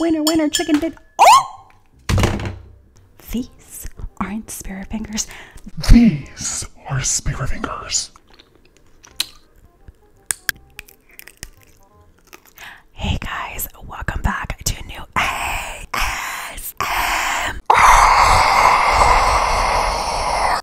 Winner, winner, chicken dinner. Oh! These aren't spirit fingers. These are spirit fingers. Hey guys, welcome back to new ASM.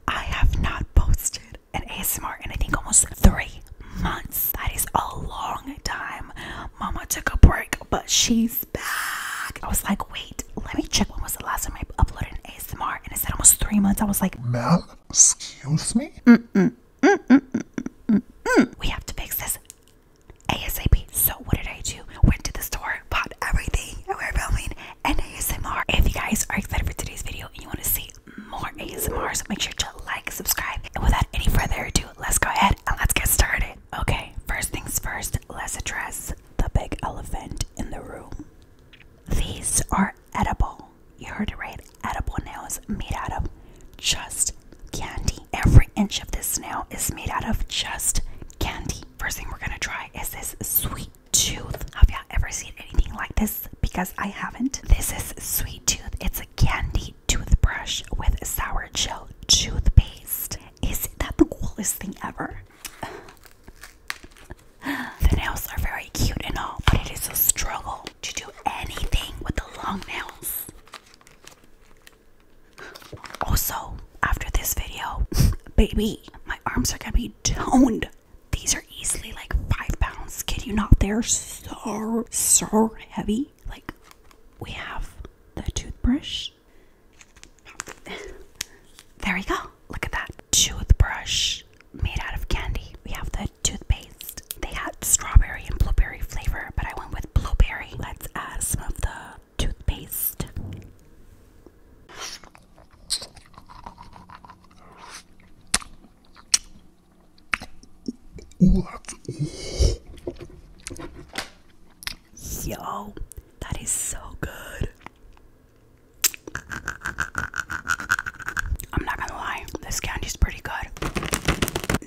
have not posted had an ASMR and I think almost three months. That is a long time. Mama took a break, but she's back. I was like, wait, let me check when was the last time I uploaded an ASMR, and it said almost three months. I was like, ma'am, excuse me. We have to fix this ASAP. So what did I do? Went to the store, bought everything, and we're filming an ASMR. If you guys are excited for today's video and you want to see more ASMR. So make sure to like, subscribe. And without any further ado, let's go ahead and let's get started. Okay, first things first, let's address the big elephant in the room. These are edible. You heard it right. Edible nails made out of just candy. Every inch of this nail is made out of just candy. First thing we're gonna try is this sweet tooth. Have y'all ever seen anything like this? because I haven't. This is Sweet Tooth. It's a candy toothbrush with sour gel toothpaste. Is that the coolest thing ever? the nails are very cute and all, but it is a struggle to do anything with the long nails. Also, after this video, baby, my arms are gonna be toned. These are easily like five pounds. Kid you not? They're so, so heavy. Like, we have the toothbrush. There we go. Look at that toothbrush made out of candy. We have the toothpaste. They had strawberry and blueberry flavor, but I went with blueberry. Let's add some of the toothpaste that's, Yo, that is so good. I'm not gonna lie, this candy's pretty good.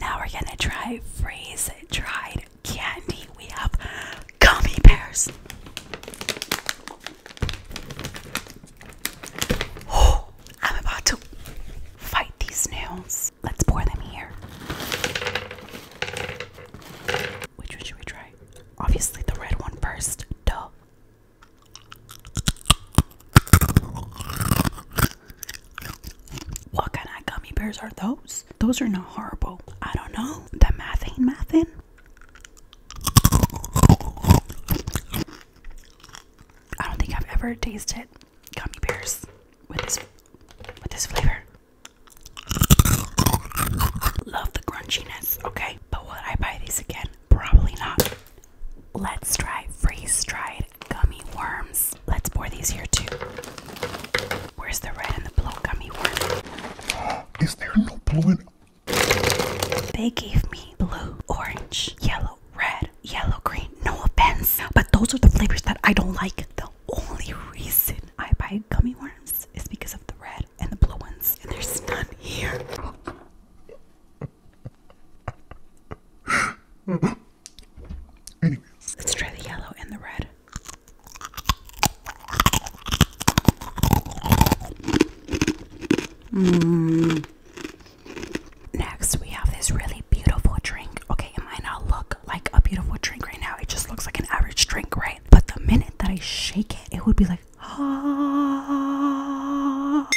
Now we're gonna try freeze dried candy. We have gummy bears. Oh, I'm about to fight these nails. Let's pour them here. Which one should we try? Obviously, the red one first. Duh. What kind of gummy bears are those? Those are not horrible. I don't know. The math ain't I don't think I've ever tasted gummy bears with this with this flavor. Love the crunchiness, okay? But will I buy these again? Probably not. Let's try freeze-dried gummy worms. Let's pour these here too. Where's the red and the blue gummy worm? Is there no blue in? They gave me blue, orange, yellow, red, yellow, green. No offense, but those are the flavors that I don't like. The only reason I buy gummy worms is because of the red and the blue ones, and there's none here. Anyways, let's try the yellow and the red. Mm. Next, we have this really beautiful drink. Okay, it might not look like a beautiful drink right now, it just looks like an average drink, right? But the minute that I shake it, it would be like, ah,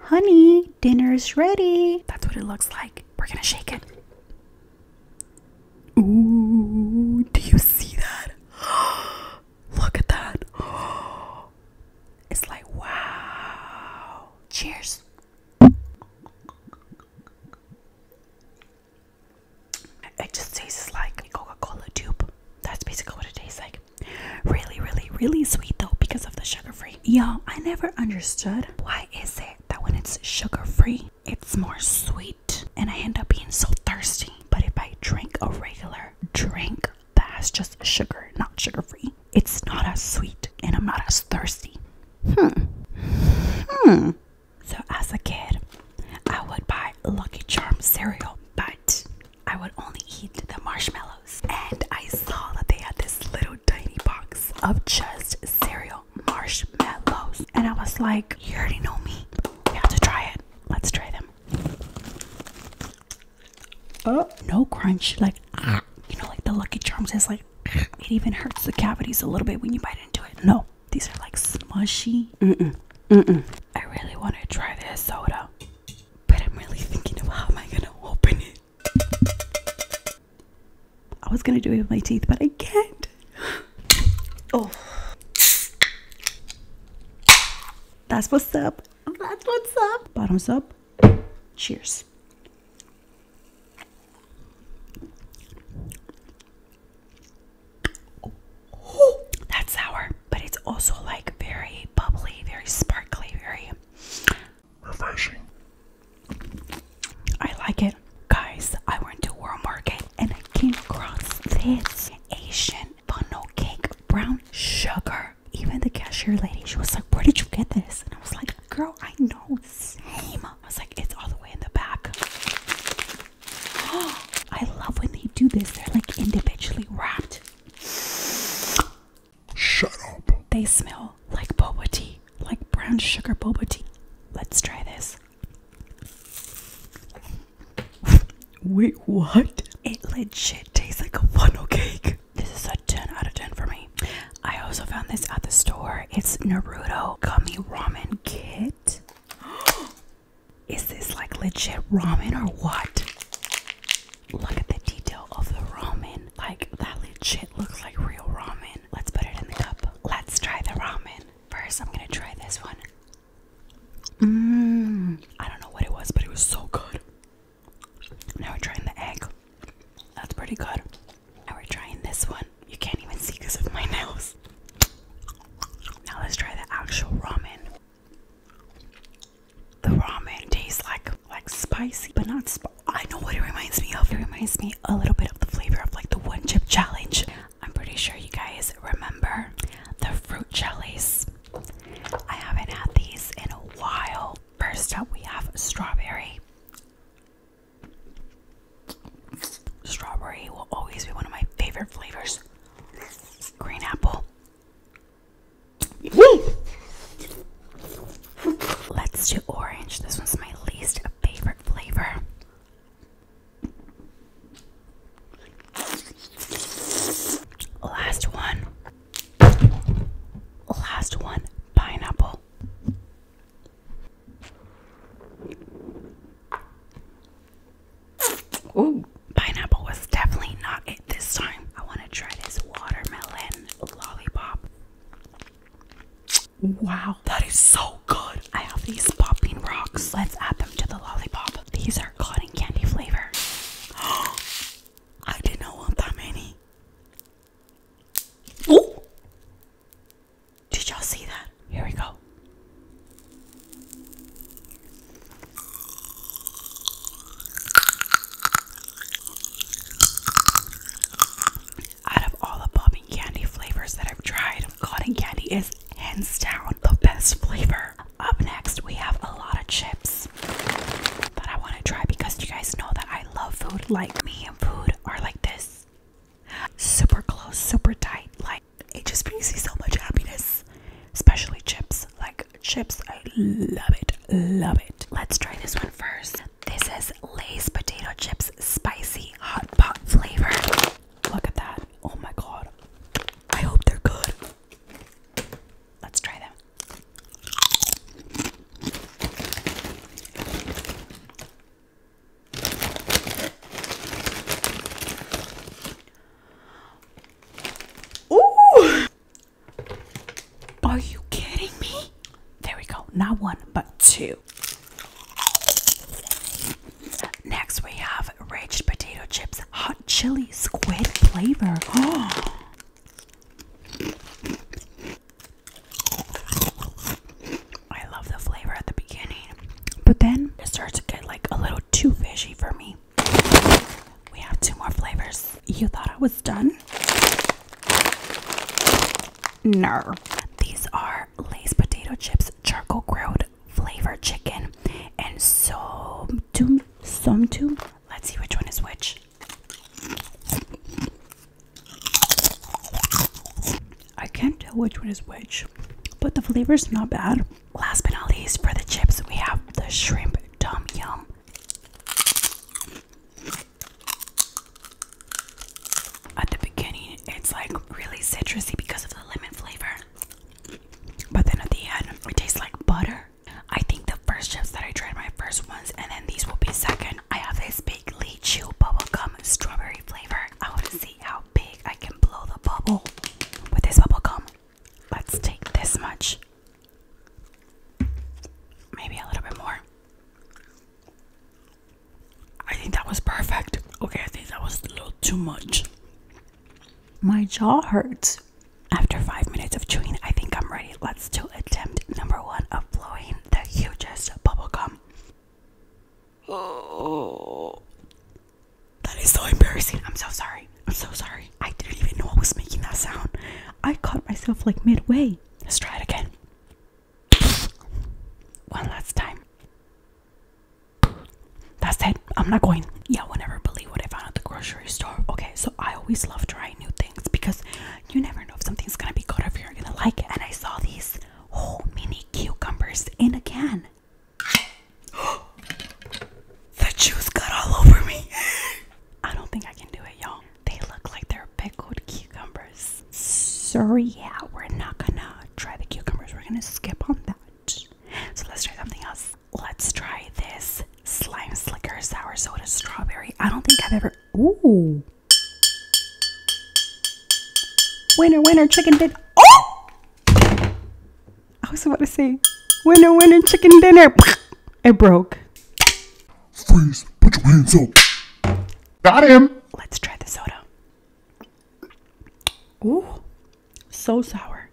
honey, dinner's ready. That's what it looks like. We're gonna shake it. Ooh, do you see that? Look at that. It's like, wow. Cheers. It just tastes like Coca Cola tube. That's basically what it tastes like. Really, really, really sweet though because of the sugar free. Y'all, I never understood why is it that when it's sugar free, it's more sweet and I end up being so thirsty. But if I drink a regular drink that's just sugar, not sugar free, it's not as sweet and I'm not as thirsty. Hmm. Hmm. So, as a kid, I would buy Lucky Charms cereal, but I would only eat the marshmallows. And I saw that they had this little tiny box of just cereal marshmallows. And I was like, You already know me. We have to try it. Let's try them. Oh, no crunch. Like, ah, you know, like the Lucky Charms has like, ah, it even hurts the cavities a little bit when you bite into it. No, these are like smushy. I really want to try this soda, but I'm really thinking of how am I gonna open it. I was gonna do it with my teeth, but I can't. Oh. That's what's up. That's what's up. Bottoms up. Cheers. That's sour, but it's also like very bubbly, very sparkly, very refreshing. I like it. Guys, I went to World Market and I came across this Asian funnel cake brown sugar even the cashier lady, she was like, Where did you get this? And I was like, Girl, I know, same. I was like, It's all the way in the back. I love when they do this, they're like individually wrapped. Shut up. They smell like boba tea, like brown sugar boba tea. Let's try this. Wait, what? It legit tastes like a funnel cake. This is a 10 out of 10 for me. I also found this at the store. It's Naruto Gummy Ramen Kit. Is this like legit ramen or what? Look at the detail of the ramen. Like, that legit looks like real ramen. Let's put it in the cup. Let's try the ramen. First, I'm gonna try this one. Mmm. I don't know what it was, but it was so good. Now we're trying the egg. That's pretty good. Now we're trying this one. You can't even see because of my nails. Now let's try the actual ramen. The ramen tastes like like spicy, but not I know what it reminds me of. It reminds me a little bit of the flavor of like the one chip challenge. I'm pretty sure you guys remember the fruit jellies. I haven't had these in a while. First up, we have strawberry. Strawberry will always be one of my favorite flavors. Green apple. Let's do orange. This one's my least favorite flavor. Last one. Last one. Pineapple well. Ooh, pineapple was definitely not it this time. I want to try this watermelon lollipop. Wow, that is so good. I have these popping rocks. Let's add them to the lollipop. These are cotton candy flavor. I did not want that many. Oh! Did y'all see that? Here we go. Out of all the bobbing candy flavors that I've tried, cotton candy is hands down the best flavor. Up next, we have a lot of chips that I want to try because you guys know that I love food like me food are like this super close, super tight. Like, it just brings me so much happiness, especially chips. Like, chips, I love it, love it. Let's try this one first. This is Lay's potato chips, spicy hot pot flavor. Look at that. Oh my god. I hope they're good. Let's try them. Ooh! Are you kidding me? There we go. Not one, but two. Next, we have Raged Potato Chips Hot Chili Squid Flavor. Oh. I love the flavor at the beginning, but then it starts to get like a little too fishy for me. We have two more flavors. You thought I was done? No. These are Lay's potato chips, charcoal grilled flavored chicken, and some two. Let's see which one is which. I can't tell which one is which, but the flavor is not bad. Last but not least, for the chips, we have the shrimp tom yum. At the beginning, it's like really citrusy because of the lemon flavor, but then at the end, it tastes like butter. I think the first chips that I tried, my first ones, and then these will be second. I have this big Wrigley Chew Bubblegum Strawberry Flavor. I want to see how big I can blow the bubble with this bubble gum. Let's take this much. Maybe a little bit more. I think that was perfect. Okay, I think that was a little too much. My jaw hurts. After five minutes of chewing, I think I'm ready. Let's to attempt number one of blowing the hugest bubblegum. Oh, that is so embarrassing. I'm so sorry. I'm so sorry. I didn't even know I was making that sound. I caught myself like midway. Let's try it again. One last time. That's it. I'm not going. Yeah, I will never believe what I found at the grocery store. Okay, so I always love trying new things because you never know if something's gonna be good if you're gonna like it. And I saw these whole mini cucumbers in a can. the juice got all over me. I don't think I can do it, y'all. They look like they're pickled cucumbers. So yeah, we're not gonna try the cucumbers. We're gonna skip on that. So let's try something else. Let's try this slime slicker sour soda strawberry. I don't think I've ever. Ooh, Winner, winner, chicken dinner. Oh! I was about to say, winner, winner, chicken dinner. It broke. Freeze, put your hands up. Got him. Let's try the soda. Ooh, so sour.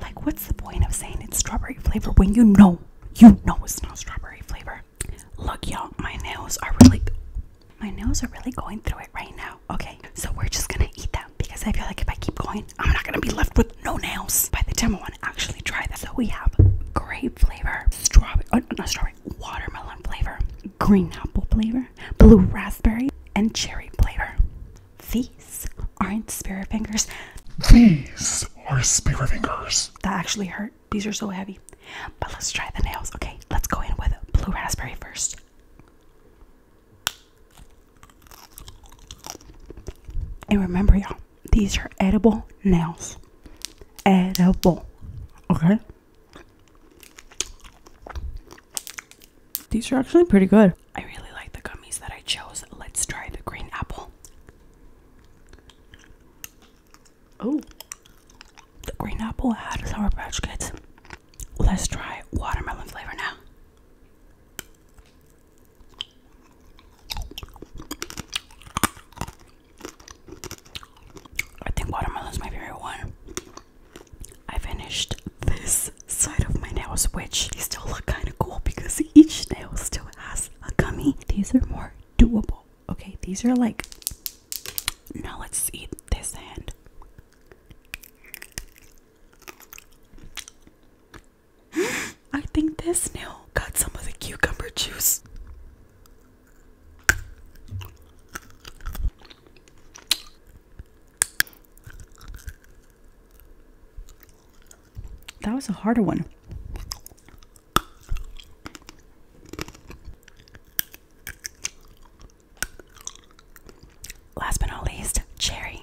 Like, what's the point of saying it's strawberry flavor when you know, you know it's not strawberry flavor? Look, y'all, my nails are really my nails are really going through it right now. Okay, so we're just gonna eat them because I feel like if I keep going, I'm not gonna be left with no nails by the time I want to actually try this. So we have grape flavor, strawberry, oh, not strawberry, watermelon flavor, green apple flavor, blue raspberry, and cherry flavor. These aren't spirit fingers. These are spirit fingers. That actually hurt. These are so heavy. But let's try the nails. Okay, let's go in with blue raspberry first. And remember, y'all, these are edible nails. Edible. Okay. These are actually pretty good. I really like the gummies that I chose. Let's try the green apple. Oh, the green apple had Sour Patch Kids. Let's try watermelon flavor now. I think watermelon is my favorite one. I finished this side of my nails, which still look kind of cool because each nail still has a gummy. These are more doable Okay, these are like. Now let's eat this hand. I think this nail got some of the cucumber juice. That was a harder one. Last but not least, cherry.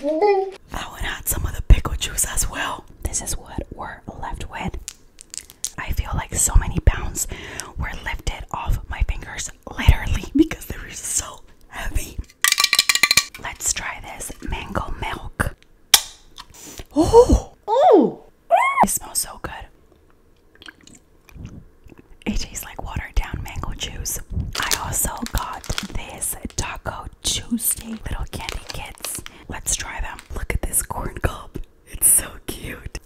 That one had some of the pickle juice as well. This is what we're left with. I feel like so many pounds were lifted off my fingers, literally, because they were so heavy. Let's try this mango milk. Oh! Oh! It smells so good. It tastes like watered down mango juice. I also got this Taco Tuesday little candy kits. Let's try them. Look at this corn cob. It's so cute.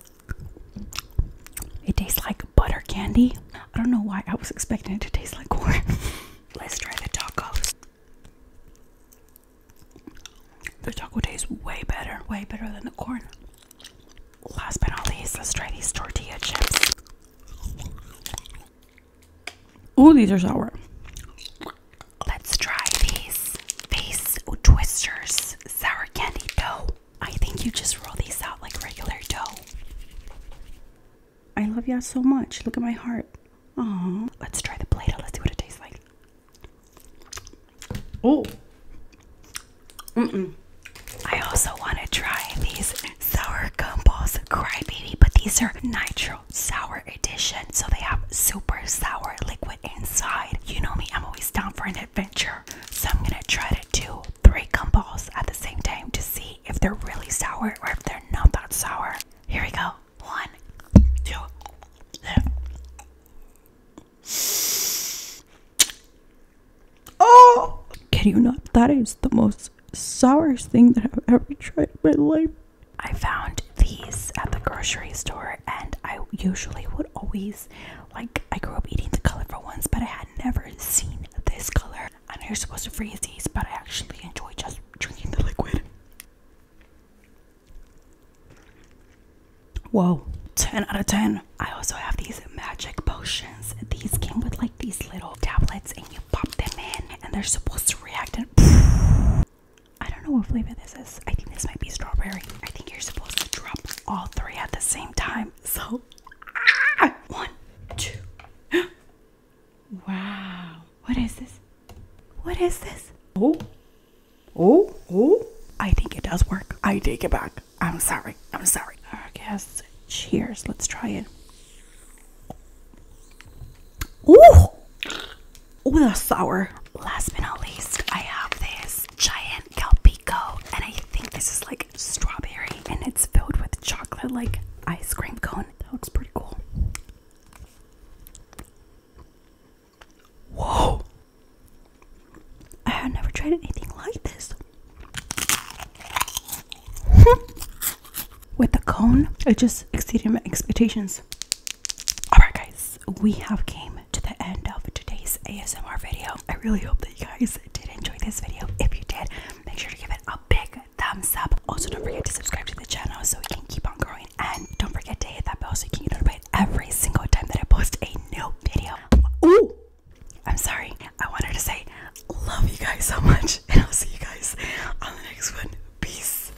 It tastes like butter candy. I don't know why I was expecting it to taste like corn. Let's try the tacos. The taco tastes way better, way better than the corn. Last but not least, let's try these tortilla chips. Ooh, these are sour. Let's try these face twisters sour candy dough. I think you just roll these out like regular dough. I love y'all so much. Look at my heart. Aw. Let's try the plate. Let's see what it tastes like. Oh. Mm-mm. I also want to try these sour gumballs crybaby, but these are nitro sour edition. So they have super sour liquid inside. You know me, I'm always down for an adventure. So I'm gonna try to do three gumballs at the same time to see if they're really sour or if they're not that sour. Here we go. One, two, three. Oh! Can you not? That is the most sourest thing that I've ever tried in my life. I found these at the grocery store, and I usually would always like. I grew up eating the colorful ones, but I had never seen this color. And you're supposed to freeze these, but I actually enjoy just drinking the liquid. Whoa, 10 out of 10. I also have these magic potions. These came with like these little tablets and you pop them in and they're supposed to react and I don't know what flavor this is. I think this might be strawberry. I think you're supposed to drop all three at the same time. So, ah! one, two, Wow. What is this? What is this? Oh, oh, oh. I think it does work. I take it back. I'm sorry. I'm sorry. Okay, let cheers. Let's try it. Oh! Oh, that's sour. Last but not least, I have this giant Calpico, and I think this is like strawberry, and it's filled with chocolate, like ice cream cone. That looks pretty cool. Whoa! I have never tried anything like this. With the cone, it just exceeded my expectations. Alright, guys, we have came to the end of today's ASMR video. I really hope that you guys did enjoy this video. If you did, make sure to give it a big thumbs up. Also, don't forget to subscribe to the channel so we can keep on growing. And don't forget to hit that bell so you can get notified every single time that I post a new video. Ooh! I'm sorry. I wanted to say, love you guys so much. And I'll see you guys on the next one. Peace.